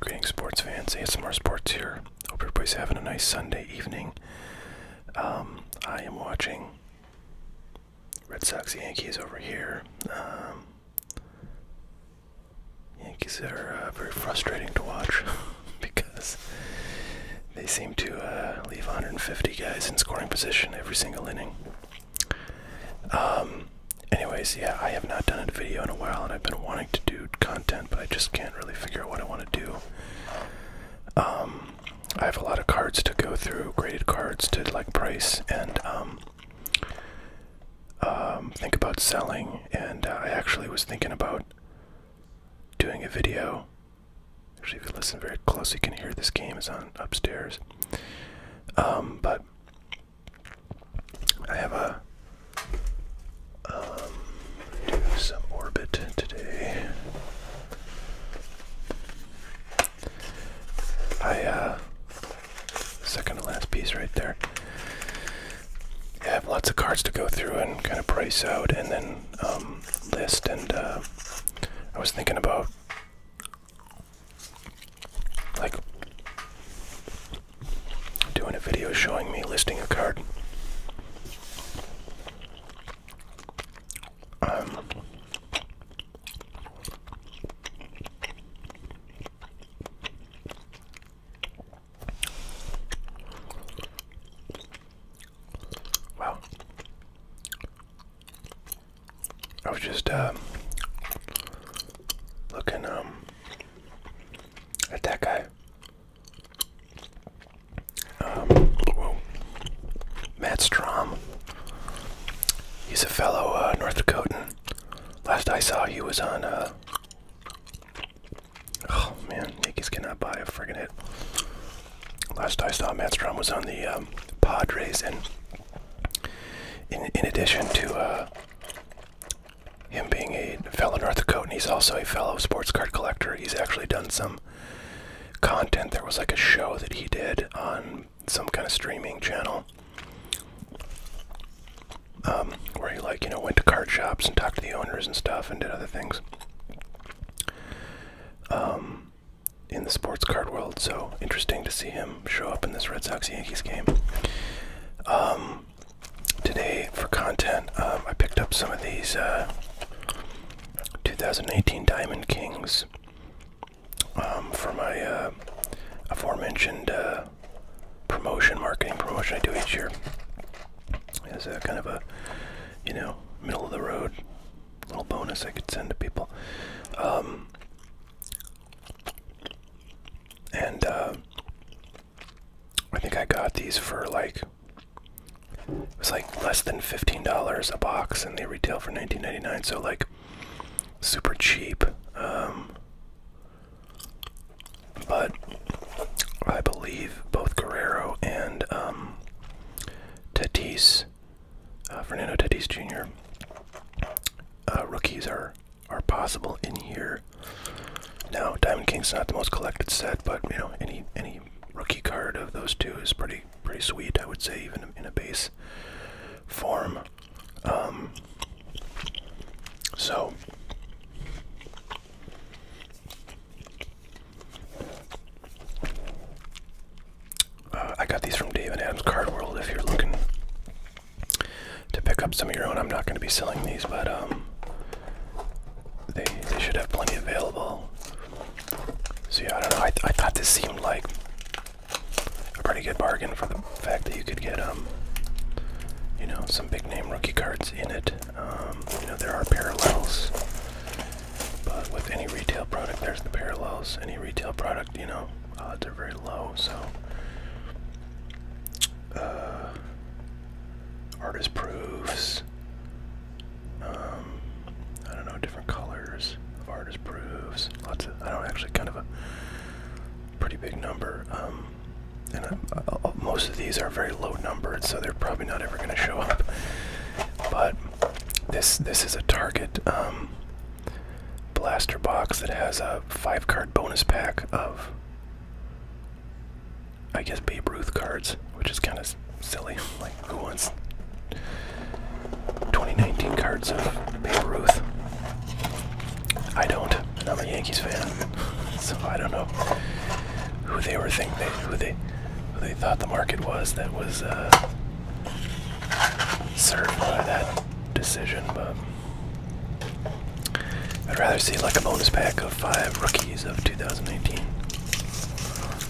Greetings, sports fans. ASMR Sports here. Hope everybody's having a nice Sunday evening. Um, I am watching Red Sox Yankees over here. Um, Yankees are uh, very frustrating to watch. because they seem to uh, leave 150 guys in scoring position every single inning. Um, anyways, yeah, I have not done a video in a while, and I've been wanting to do content, but I just can't really figure out what I want to do. Um, I have a lot of cards to go through, graded cards to like price and um, think about selling. And uh, I actually was thinking about doing a video Actually, if you listen very close, you can hear this game is on upstairs. Um, but I have a um, do some orbit today. I uh, second to last piece right there. I have lots of cards to go through and kind of price out, and then um, list, and uh, I was thinking about like doing a video showing me listing a card. Um, Wow. I was just uh, looking um, at that guy. Um, Matt Strom. He's a fellow uh, North Dakotan. Last I saw, he was on uh, Oh man, Yankees cannot buy a friggin' hit. Last time I saw, Matt was on the um, Padres, and in addition to uh, him being a fellow North and he's also a fellow sports card collector. He's actually done some content. There was like a show that he did on some kind of streaming channel um, where he like you know went to card shops and talked to the owners and stuff and did other things. Um, in the sports card world. So interesting to see him show up in this Red Sox Yankees game. Um, today, for content, um, I picked up some of these uh, 2018 Diamond Kings for my uh, aforementioned uh, promotion, marketing promotion I do each year as a kind of a, you know, middle of the road little bonus I could send to people. Um, and uh, I think I got these for like it was like less than fifteen dollars a box, and they retail for nineteen ninety nine. So like super cheap. Um, but I believe both Guerrero and um, Tatis, uh, Fernando Tatis Jr. Uh, rookies are are possible in here. Now, Diamond King's not the most collected set, but you know, any any rookie card of those two is pretty pretty sweet. I would say even in a base form. Um, so uh, I got these from David Adam's Card World. If you're looking to pick up some of your own, I'm not going to be selling these, but um, they they should have plenty available. See, I don't know. I, I thought this seemed like a pretty good bargain for the fact that you could get um, you know, some big name rookie cards in it. Um, you know, there are parallels but with any retail product, there's the parallels. Any retail product, you know, odds are very low. So, uh, artist proofs. Um, I don't know, different colors of artist proofs. Lots of. I don't actually kind of a pretty big number. Um, and uh, uh, most of these are very low numbered, so they're probably not ever going to show up. But this this is a target um, blaster box that has a five card bonus pack of I guess Babe Ruth cards, which is kind of silly. Like who wants 2019 cards of Babe Ruth? I don't. I'm a Yankees fan, so I don't know who they were thinking who they they thought the market was that was uh, served by that decision. But I'd rather see like a bonus pack of five rookies of 2018.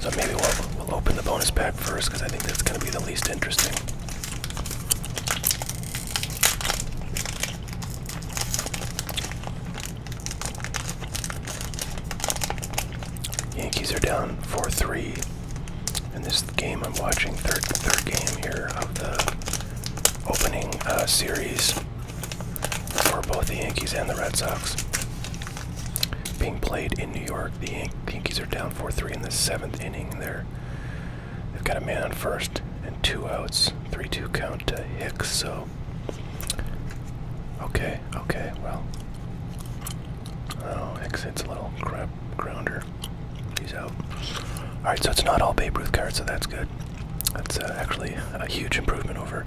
So maybe we'll, we'll open the bonus pack first because I think that's going to be the least interesting. Yankees are down 4-3 in this game I'm watching, third third game here of the opening uh, series for both the Yankees and the Red Sox. Being played in New York, the, the Yankees are down 4-3 in the seventh inning. They're, they've got a man on first and two outs, 3-2 count to Hicks. So, okay, okay, well, Oh, it's a little crap grounder. He's out. All right, so it's not all Babe Ruth cards, so that's good. That's uh, actually a huge improvement over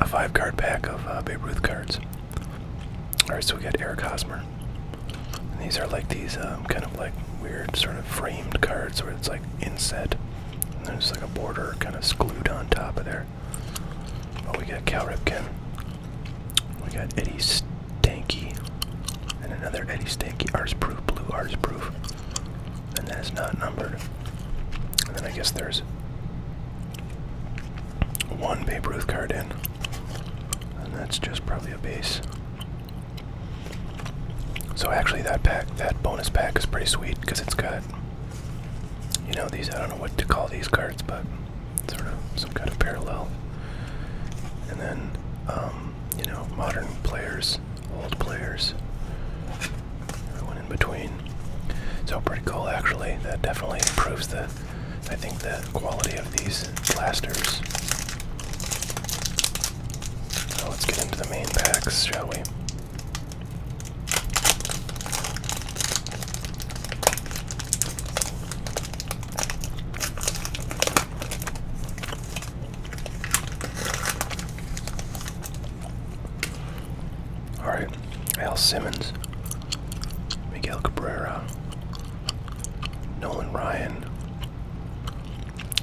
a five-card pack of uh, Babe Ruth cards. All right, so we got Eric Hosmer. these are like these um, kind of like weird sort of framed cards where it's like inset. And there's like a border kind of glued on top of there. Oh, we got Cal Ripken. We got Eddie Stanky. And another Eddie Stanky. Ars Proof, blue Ars Proof. And that is not numbered. And then I guess there's one Babe Ruth card in. And that's just probably a base. So actually that pack, that bonus pack is pretty sweet because it's got, you know, these, I don't know what to call these cards, but sort of some kind of parallel. And then, um, you know, modern players, old players, everyone in between. So pretty cool, actually. That definitely improves the, I think, the quality of these blasters. So let's get into the main packs, shall we? All right, Al Simmons, Miguel Cabrera, Nolan Ryan.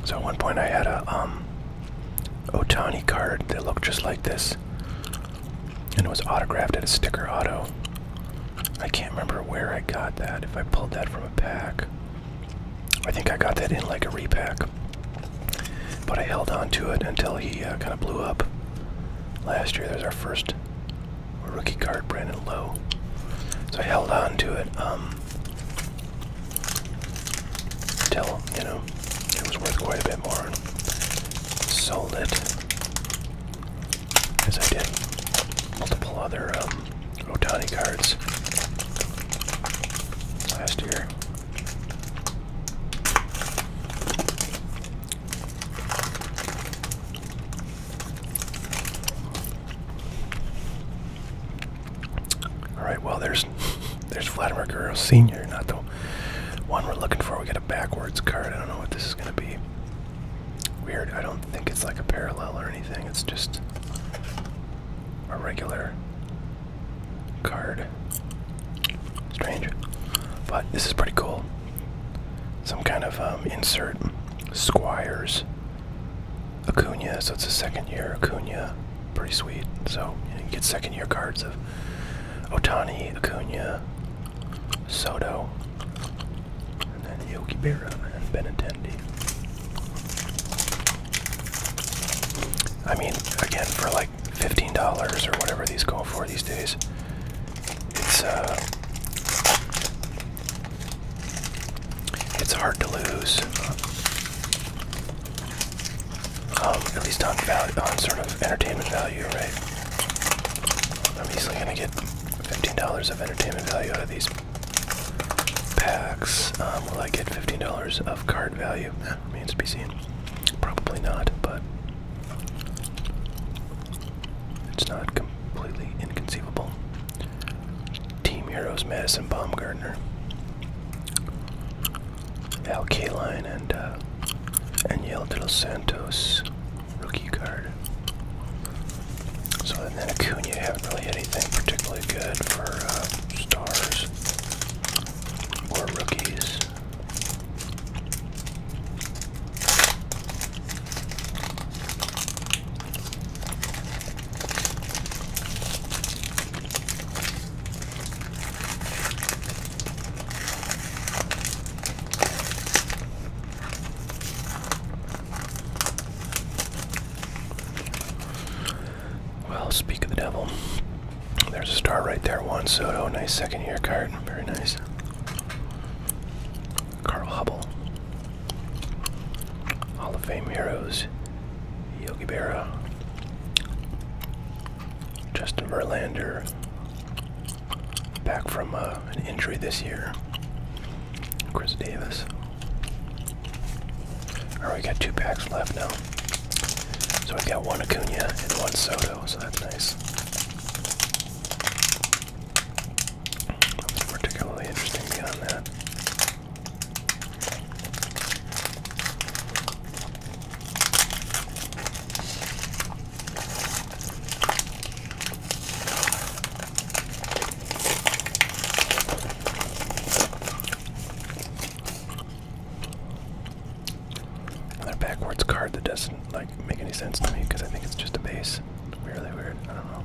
So at one point I had a um, Otani card that looked just like this, and it was autographed at a sticker auto. I can't remember where I got that, if I pulled that from a pack. I think I got that in like a repack. But I held on to it until he uh, kind of blew up. Last year, that was our first rookie card, Brandon Lowe. So I held on to it until, um, you know, it was worth quite a bit more. Sold it as I did multiple other um, Otani cards last year. All right, well there's there's Vladimir Guerrero Senior, not the one we're looking for. We get a backwards card. I don't know what this is going to be. Weird, I don't think it's like a parallel or anything, it's just a regular card. Strange. But this is pretty cool. Some kind of um, insert Squires Acuna, so it's a second year Acuna. Pretty sweet. So you get second year cards of Otani, Acuna, Soto, and then Yogi Berra and Benintendi. I mean, again, for like $15 or whatever these go for these days, it's uh, it's hard to lose. Um, at least talk about on sort of entertainment value, right? I'm easily gonna get $15 of entertainment value out of these packs. Um, will I get $15 of card value? Eh, means to be seen. Probably not, but it's not completely inconceivable. Team Heroes Madison Baumgartner. Al Kaline and uh, Daniel Santos rookie card. So then Acuna haven't really anything particularly good for uh, stars or rookies. Well, speak of the devil. There's a star right there, Juan Soto. Nice second year card. Very nice. Carl Hubble. Hall of Fame Heroes. Yogi Berra. Justin Verlander back from uh, an injury this year. Chris Davis. Alright, we got two packs left now. So we got one Acuna and one Soto, so that's nice. Nothing particularly interesting beyond that. Another backwards card that doesn't like make any sense to me because I think it's just a base. really weird. I don't know.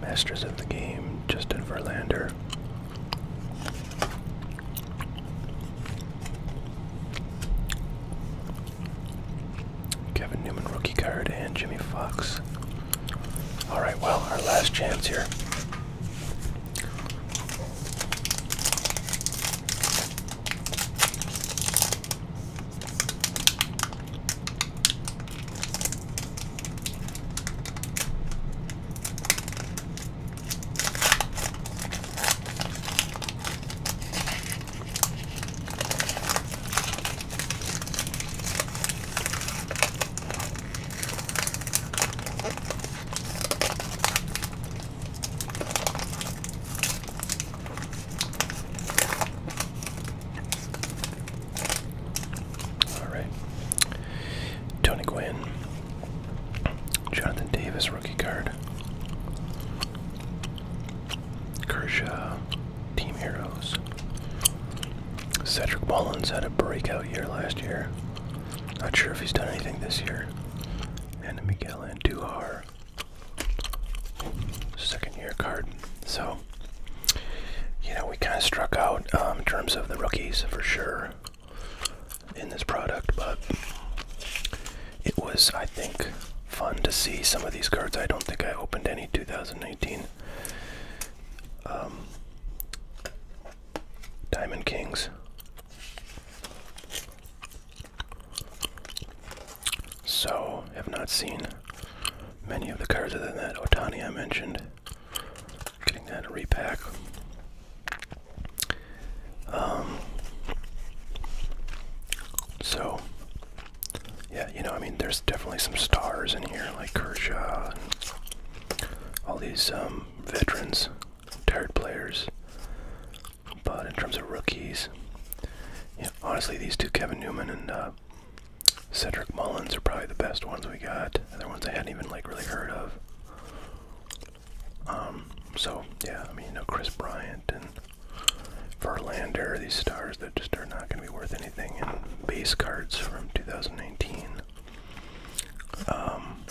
Masters of the game, Justin Verlander. Kevin Newman rookie card and Jimmy Fox. All right, well, our last chance here. All right. Tony Gwynn, Jonathan Davis rookie card. Lillard, Kershaw, Team Heroes. Cedric Mullins had a breakout year last year. Not sure if he's done anything this year. And Miguel Andujar, second year card. So, you know, we kind of struck out um, in terms of the rookies for sure in this product, but it was, I think, fun to see some of these cards. I don't think I opened any 2019. Um, Diamond Kings. So, have not seen many of the cards other than that Otani I mentioned. Getting that repack. Um, so, yeah, you know, I mean, there's definitely some stars in here, like Kershaw and all these um, veterans, tired players. But in terms of rookies, you honestly, these two, Kevin Newman and uh, Cedric Mullins, are probably the best ones we got. Other ones I hadn't even like really heard of. Um, so yeah, I mean, you know, Chris Bryant and Verlander, these stars that just are not going to be worth anything, in base cards from 2019. Um,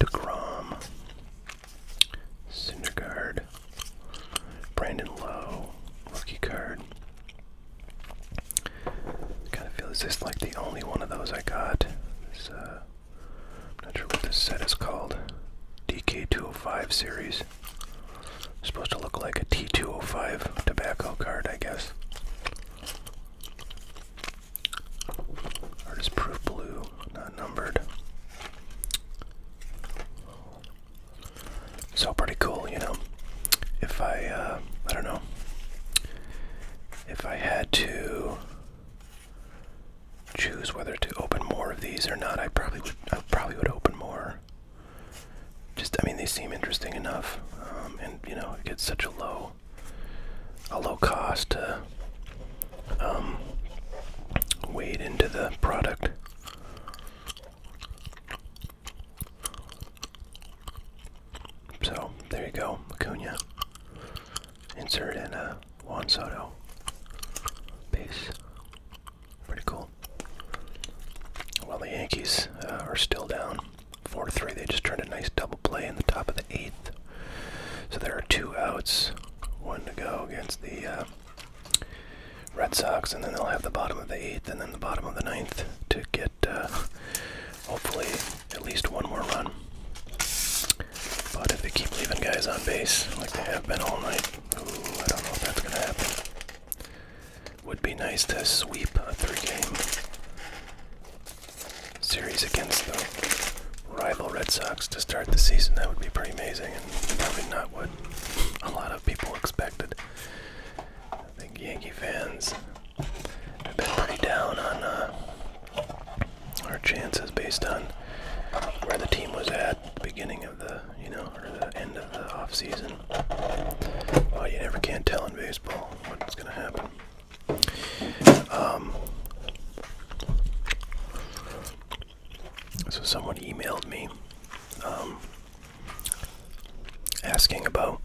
DeGrom, Syndergaard, Brandon Lowe, rookie card. Kind of feels this like the only one of those I got. Uh, I'm not sure what this set is called. DK205 series. Supposed to look like a T205 tobacco card, I guess. Artist Proof Blue, not numbered. So pretty cool, you know. If I, uh, I don't know. If I had to choose whether to open more of these or not. I probably would. I probably would open more. Just, I mean, they seem interesting enough, um, and you know, it gets such a low, a low cost to um, wade into the product. So there you go, Acuna insert in a uh, Juan Soto base. Pretty cool. Well, the Yankees uh, are still down 4-3. They just turned a nice double play in the top of the eighth. So there are two outs, one to go against the uh, Red Sox, and then they'll have the bottom of the eighth and then the bottom of the ninth to get hopefully at least one more run. But if they keep leaving guys on base like they have been all night, I don't know if that's gonna happen. Would be nice to sweep a three-game series against the rival Red Sox to start the season. That would be pretty amazing, and probably not what a lot of people expected. I think Yankee fans have been pretty down on uh, our chances based on where the team was at the beginning of the, you know, or the end of the off season. Well, you never can tell in baseball what's going to happen. Um, so someone emailed me um, asking about,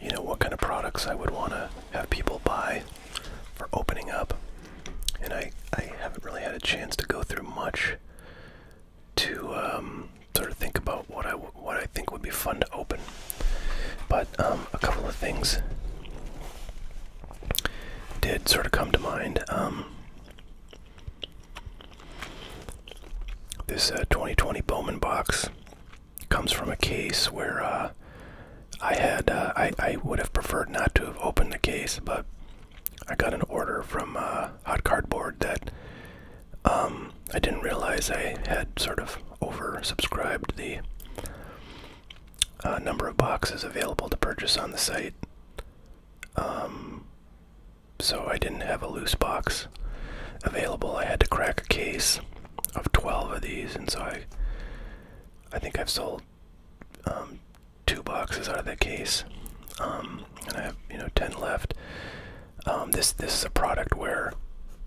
you know, what kind of products I would want to have people buy for opening up. And I, I haven't really had a chance to go through much to um, sort of think about what I, what I think would be fun to open. But um, a couple of things did sort of come to mind. Um, this 2020 uh, Bowman box comes from a case where uh, I had uh, I I would have preferred not to have opened the case, but I got an order from uh, Hot Cardboard that um, I didn't realize I had sort of oversubscribed the uh, number of boxes available to purchase on the site. Um, so I didn't have a loose box available. I had to crack a case of 12 of these, and so I I think I've sold um, two boxes out of that case, um, and I have you know ten left. Um, this this is a product where,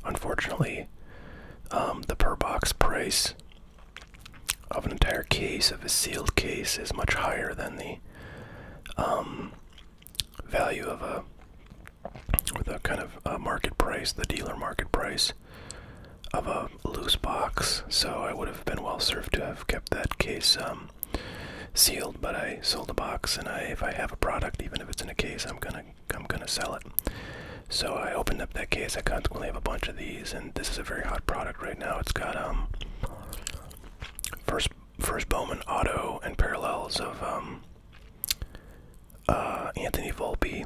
unfortunately, the per box price of an entire case of a sealed case is much higher than the value of a, the kind of market price, the dealer market price of a loose box, so I would have been well served to have kept that case um, sealed. But I sold the box, and I, if I have a product, even if it's in a case, I'm gonna I'm gonna sell it. So I opened up that case. I consequently have a bunch of these, and this is a very hot product right now. It's got um, first first Bowman auto and parallels of um, uh, Anthony Volpe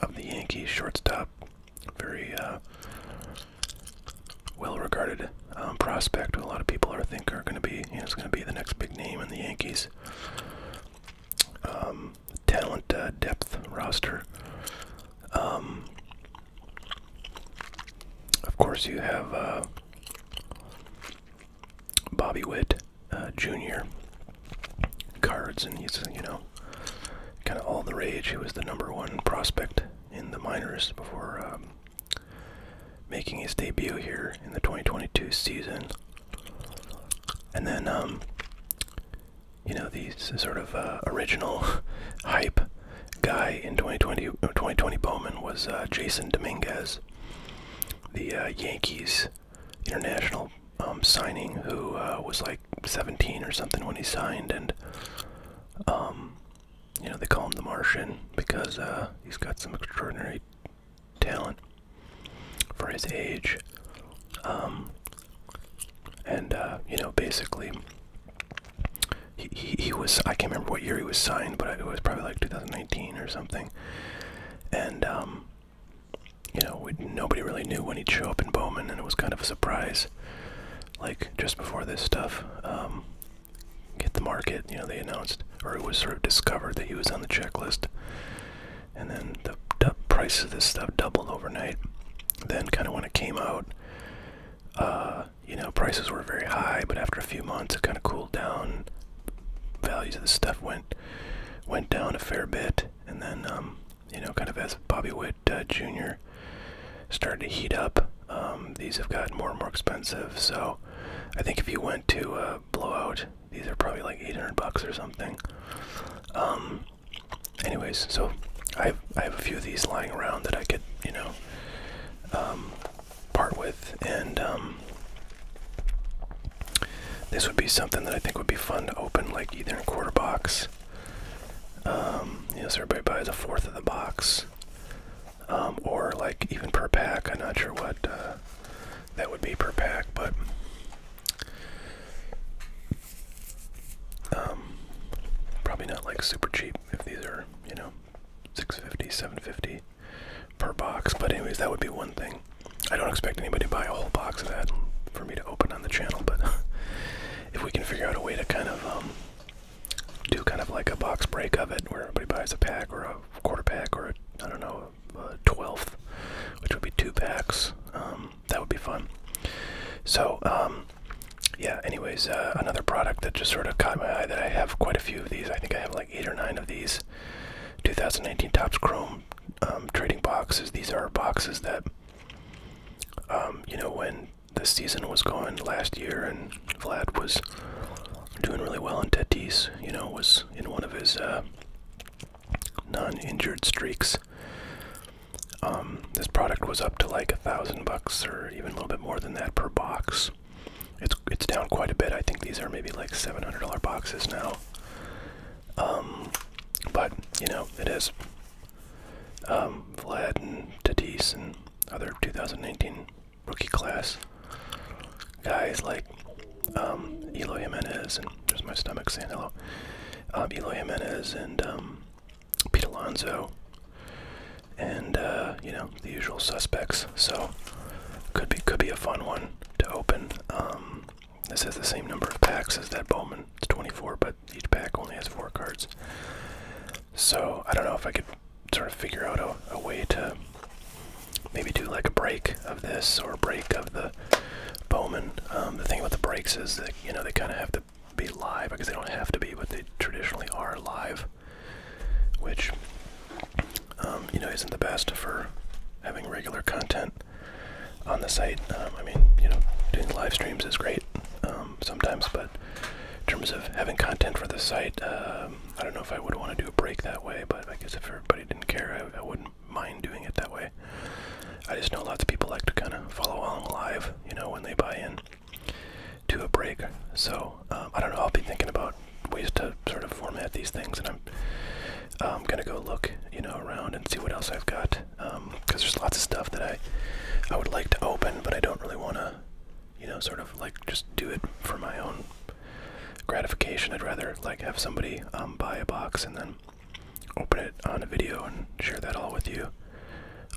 of the Yankees shortstop very uh, well-regarded um, prospect. A lot of people are think are going to be, you it's going to be the next big name in the Yankees. Um, talent uh, depth roster. Um, of course, you have uh, Bobby Witt Jr. cards, and he's you know kind of all the rage. He was the number one prospect in the minors before um, making his debut here in the 2022 season. And then, um, you know, these sort of uh, original hype guy in 2020, 2020 uh, Bowman was uh, Jason Dominguez, the Yankees international um, signing, who was like 17 or something when he signed, and um, you know they call him the Martian because uh, he's got some extraordinary talent for his age, um, and uh, you know basically. He, he, was I can't remember what year he was signed, but it was probably like 2019 or something. And um, you know, nobody really knew when he'd show up in Bowman, and it was kind of a surprise like just before this stuff um, hit the market. You know, they announced, or it was sort of discovered that he was on the checklist, and then the price of this stuff doubled overnight. Then, kind of when it came out, uh, you know, prices were very high, but after a few months, it kind of cooled down. Values of the stuff went went down a fair bit, and then um, you know, kind of as Bobby Witt uh, Jr. started to heat up, um, these have gotten more and more expensive. So I think if you went to uh, Blowout, these are probably like 800 bucks or something. Um, anyways, so I have, I have a few of these lying around that I could, you know, um, part with. And this would be something that I think would be fun to open, like either in quarter box um, everybody buys a fourth of the box. Um, or like even per pack. I'm not sure what uh, that would be per pack, but um, probably not like super cheap if these are, you know, 650, 750 per box. But anyways, that would be one thing. I don't expect anybody to buy a whole box of that for me to open on the channel, but if we can figure out a way to kind of um, do kind of like a box break of it, where everybody buys a pack or a quarter pack or a, I don't know a twelfth, which would be two packs. Um, that would be fun. So um, yeah. Anyways, uh, another product that just sort of caught my eye that I have quite a few of these. I think I have like eight or nine of these. 2019 tops Chrome trading boxes. These are boxes that you know when the season was going last year, and Vlad was doing really well, and Tatis, you know, was in one of his uh, non-injured streaks. Um, this product was up to like a thousand bucks, or even a little bit more than that per box. It's it's down quite a bit. I think these are maybe like seven hundred dollar boxes now. Um, but you know, it is um, Vlad and Tatis and other 2019 rookie class guys like um, Eloy Jimenez and there's my stomach saying hello. Um, Eloy Jimenez and Pete Alonso and uh, you know the usual suspects. So could be could be a fun one to open. this has the same number of packs as that Bowman. It's 24, but each pack only has four cards. So I don't know if I could sort of figure out a, way to maybe do like a break of this or a break of the Bowman. Um, the thing about the breaks is that you know they kind of have to be live because they don't have to be, but they traditionally are live, which um, you know isn't the best for having regular content on the site. Um, I mean, you know, doing live streams is great um, sometimes, but in terms of having content for the site, um, I don't know if I would want to do a break that way, but I guess if everybody didn't care, I, wouldn't mind doing it that way. I just know lots of people like to kind of follow along live, you know, when they buy in to a break. So um, I don't know. I'll be thinking about ways to sort of format these things, and I'm I'm um, gonna go look, you know, around and see what else I've got because um, there's lots of stuff that I I would like to open, but I don't really want to, you know, sort of like just do it for my own gratification. I'd rather like have somebody um, buy a box and then open it on a video and share that all with you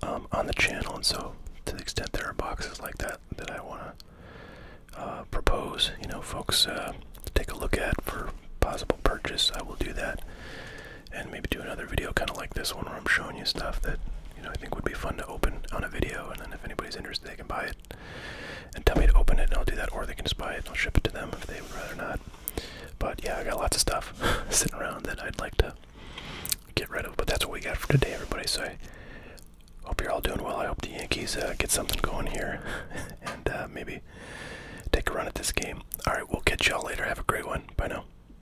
um, on the channel. And so, to the extent there are boxes like that that I want to uh, propose, you know, folks uh, take a look at for possible purchase, I will do that and maybe do another video kind of like this one where I'm showing you stuff that you know I think would be fun to open on a video, and then if anybody's interested, they can buy it and tell me to open it, and I'll do that, or they can just buy it, and I'll ship it to them if they would rather not. But yeah, I got lots of stuff sitting around that I'd like to get rid of, but that's what we got for today, everybody. So I hope you're all doing well. I hope the Yankees uh, get something going here, and uh, maybe take a run at this game. All right, we'll catch y'all later. Have a great one. Bye now.